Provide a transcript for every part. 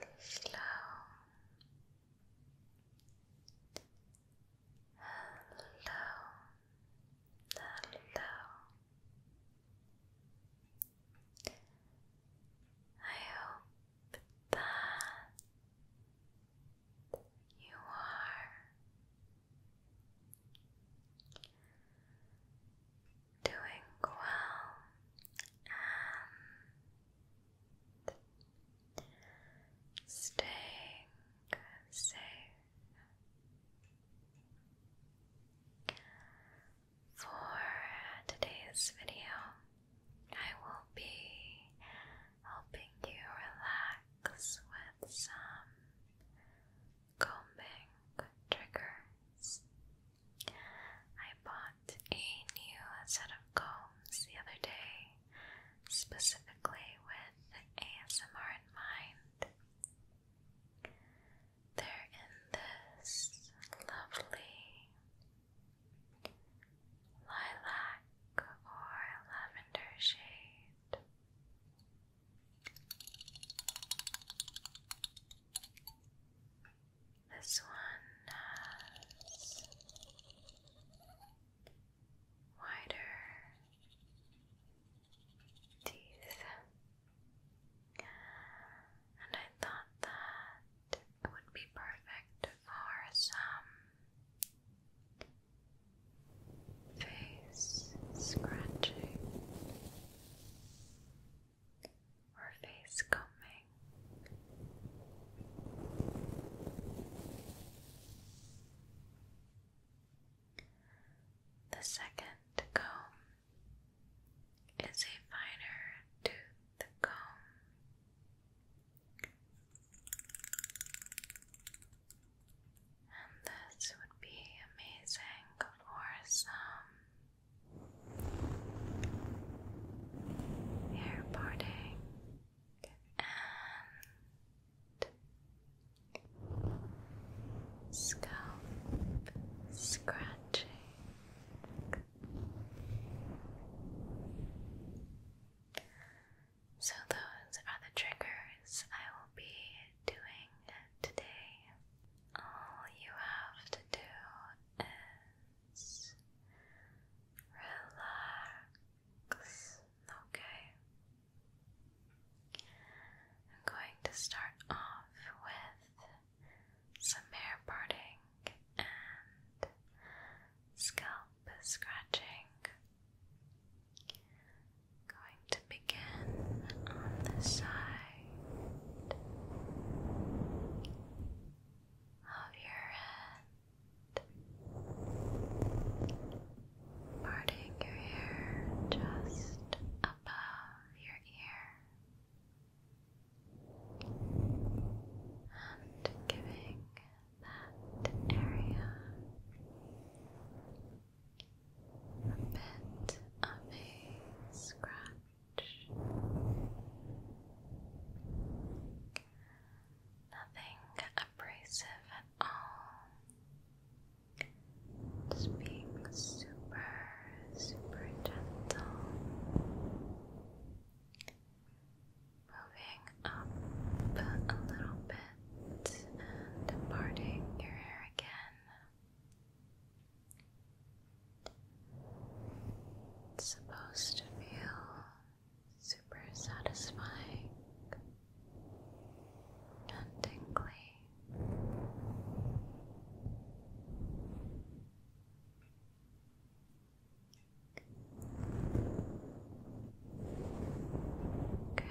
and slow and I hope that you are doing well and staying safe. For today's video, I will be helping you relax with some combing triggers. I bought a new set of combs the other day, specifically with ASMR in mind. They're in this lovely lilac or lavender shade. This one has wider teeth, and I thought that it would be perfect for some face scratching or face combing. The second comb is a finer tooth comb, and this would be amazing for some hair parting and scalp scratching. So, those are the triggers I will be doing today. All you have to do relax, Okay, I'm going to start off with some hair parting and scalp scratching. Going to begin on this side of your head, parting your hair just above your ear, and giving that area a bit of a scratch. Nothing abrasive at all. Just being super, super gentle. Moving up a little bit and parting your hair again. It's supposed to feel super satisfying and tingly. Okay.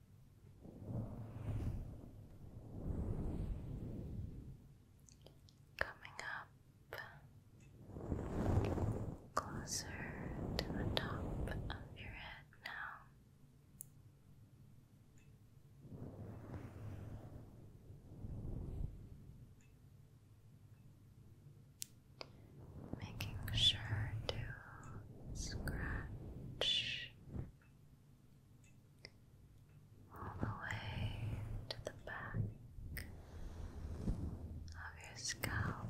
Coming up closer to the top of your head now. Making sure to scratch all the way to the back of your scalp.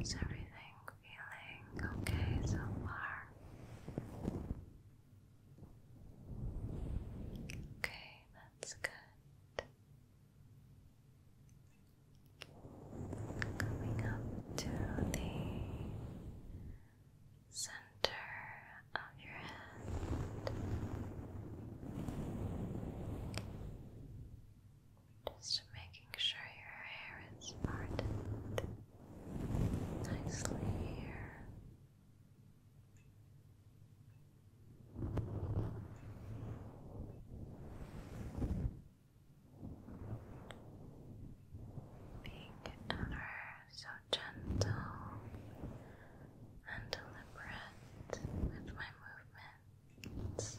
Is everything feeling okay so far? Okay, that's good. Coming up to the center of your head. Just making sure your hair is parted nicely here. Being ever so gentle and deliberate with my movements.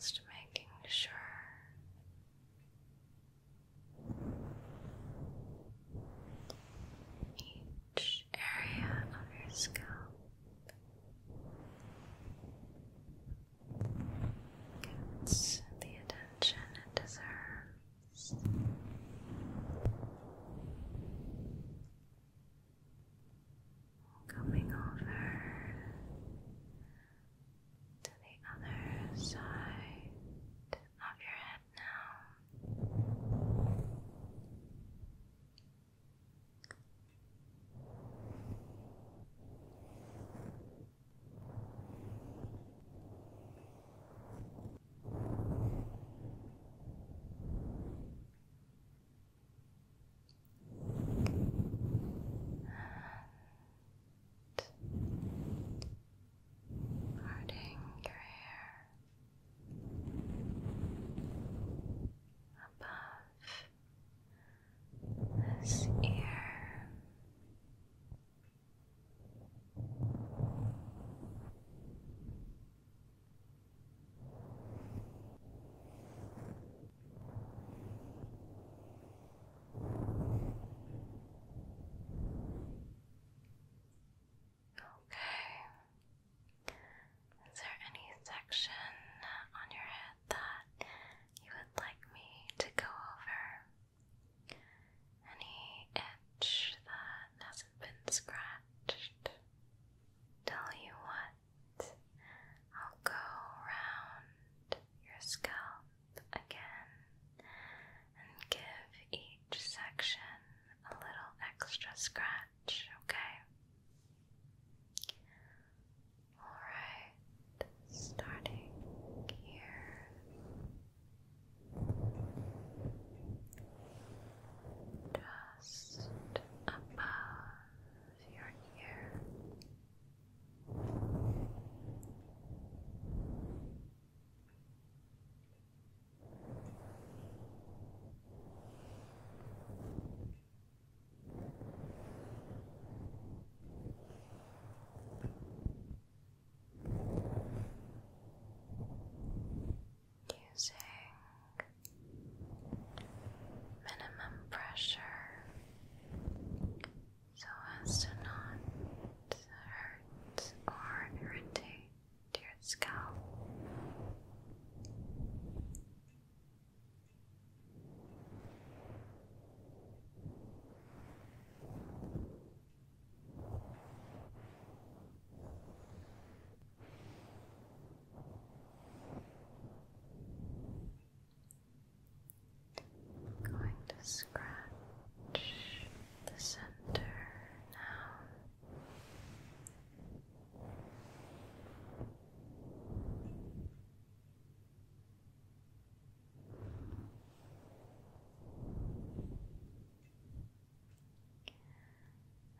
Just making sure each area of your scalp gets the attention it deserves coming over to the other side of your head now and parting your hair above this ear. Okay. Is there any section on your head that you would like me to go over? Any itch that hasn't been scratched? Tell you what, I'll go around your scalp again and give each section a little extra scratch, okay? Alright, starting here just above your ear using minimum pressure so as to not hurt or irritate your scalp going to scratch the center now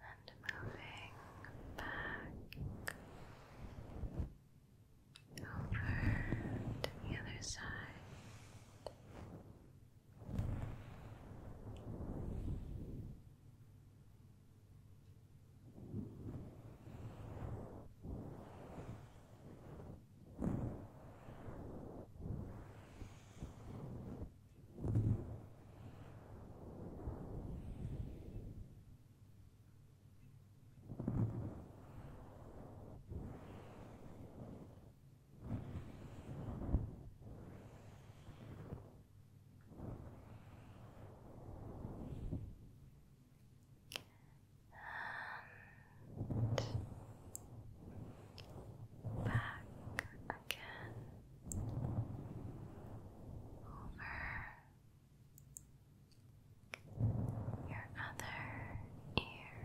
and moving back over to the other side. And back again over your other ear.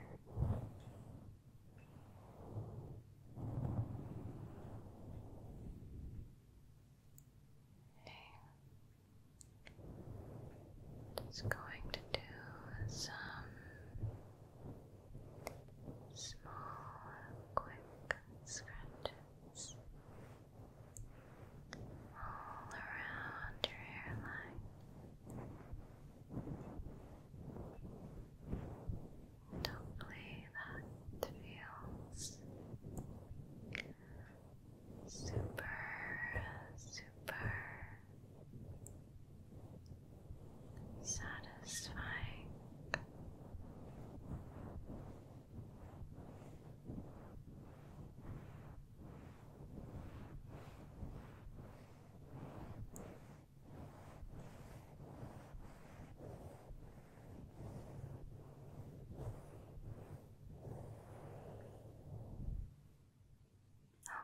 Just going to do some small, quick scratches all around your hairline. And that feels super, super satisfying.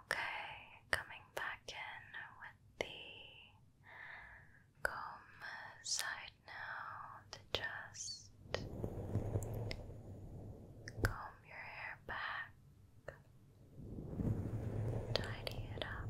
Okay, coming back in with the Come side now to just comb your hair back, tidy it up.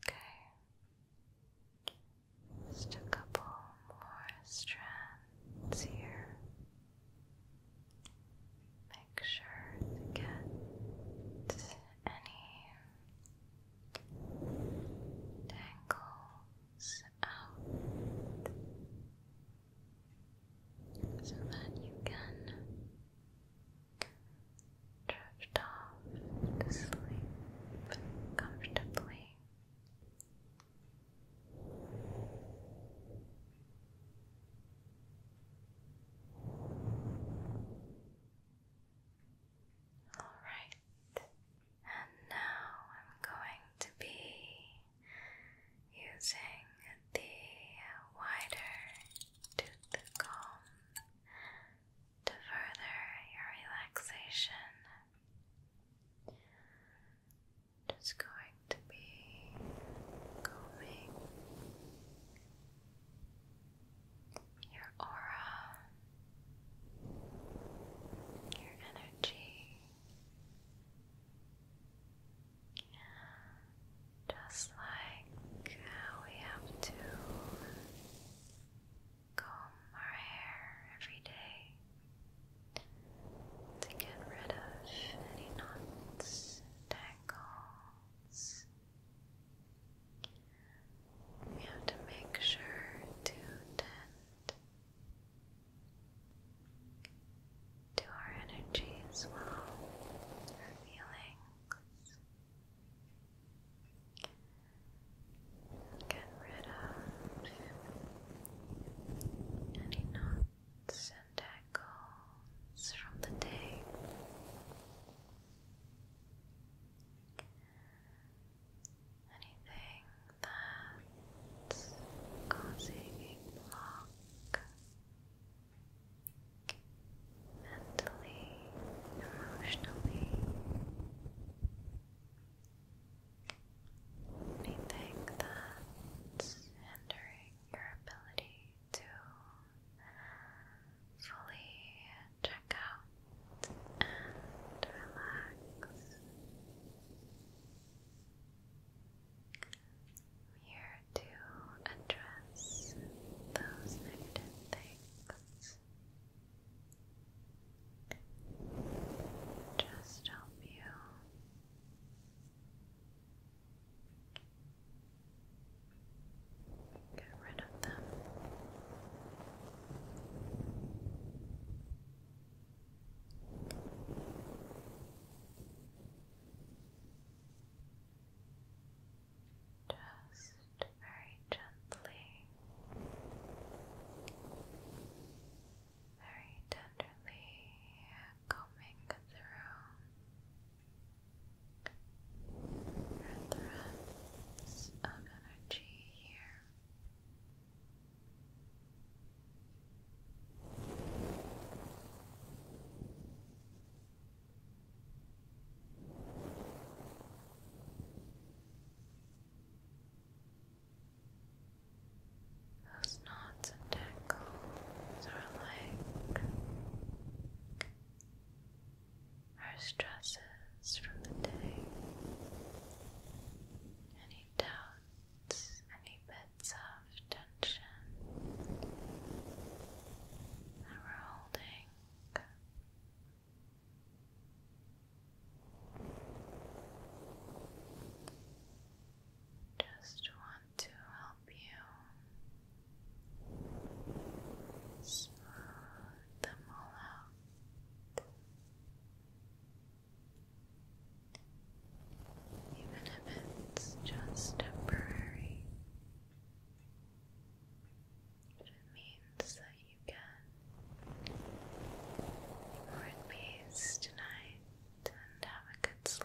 Okay. Just a couple more strands here. Make sure to get any tangles out so that you can drift off to sleep comfortably. Alright, and now I'm going to be using the wider tooth comb to further your relaxation. Just going to be combing your aura, your energy, just like we have to comb our hair every day to get rid of any knots, tangles. We have to make sure to tend to our energy our feelings. Get rid of any knots and echoes from the day. Anything that's causing a block mentally, emotionally, anything that's hindering your ability to fully check out and relax. I'm here to address those negative things. Just help you Get rid of them. Just very gently, very tenderly combing through threads of energy here. Those knots and tangles are like our stresses from the day, any doubts, any bits of tension that we're holding. Just want to help you smooth them all out even if it's just temporary. It means that you can more at peace tonight and have a good sleep.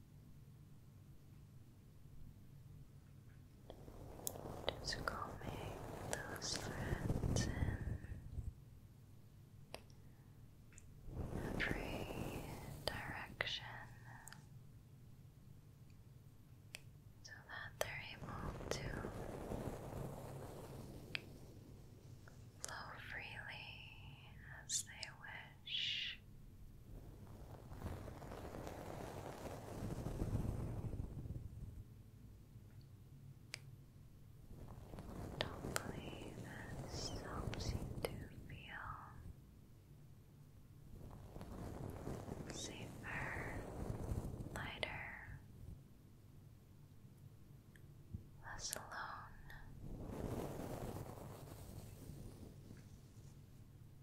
Just combing those threads in every direction so that they're able to flow freely as they wish. Shh. Hopefully, this helps you to feel safer, lighter, less alone.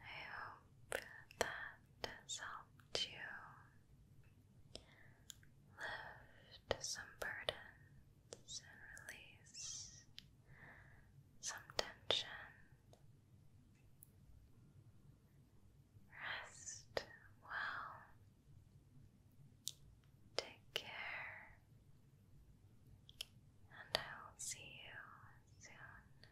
I hope that has helped you lift some burden and release some tension. Rest well. Take care, and I will see you soon.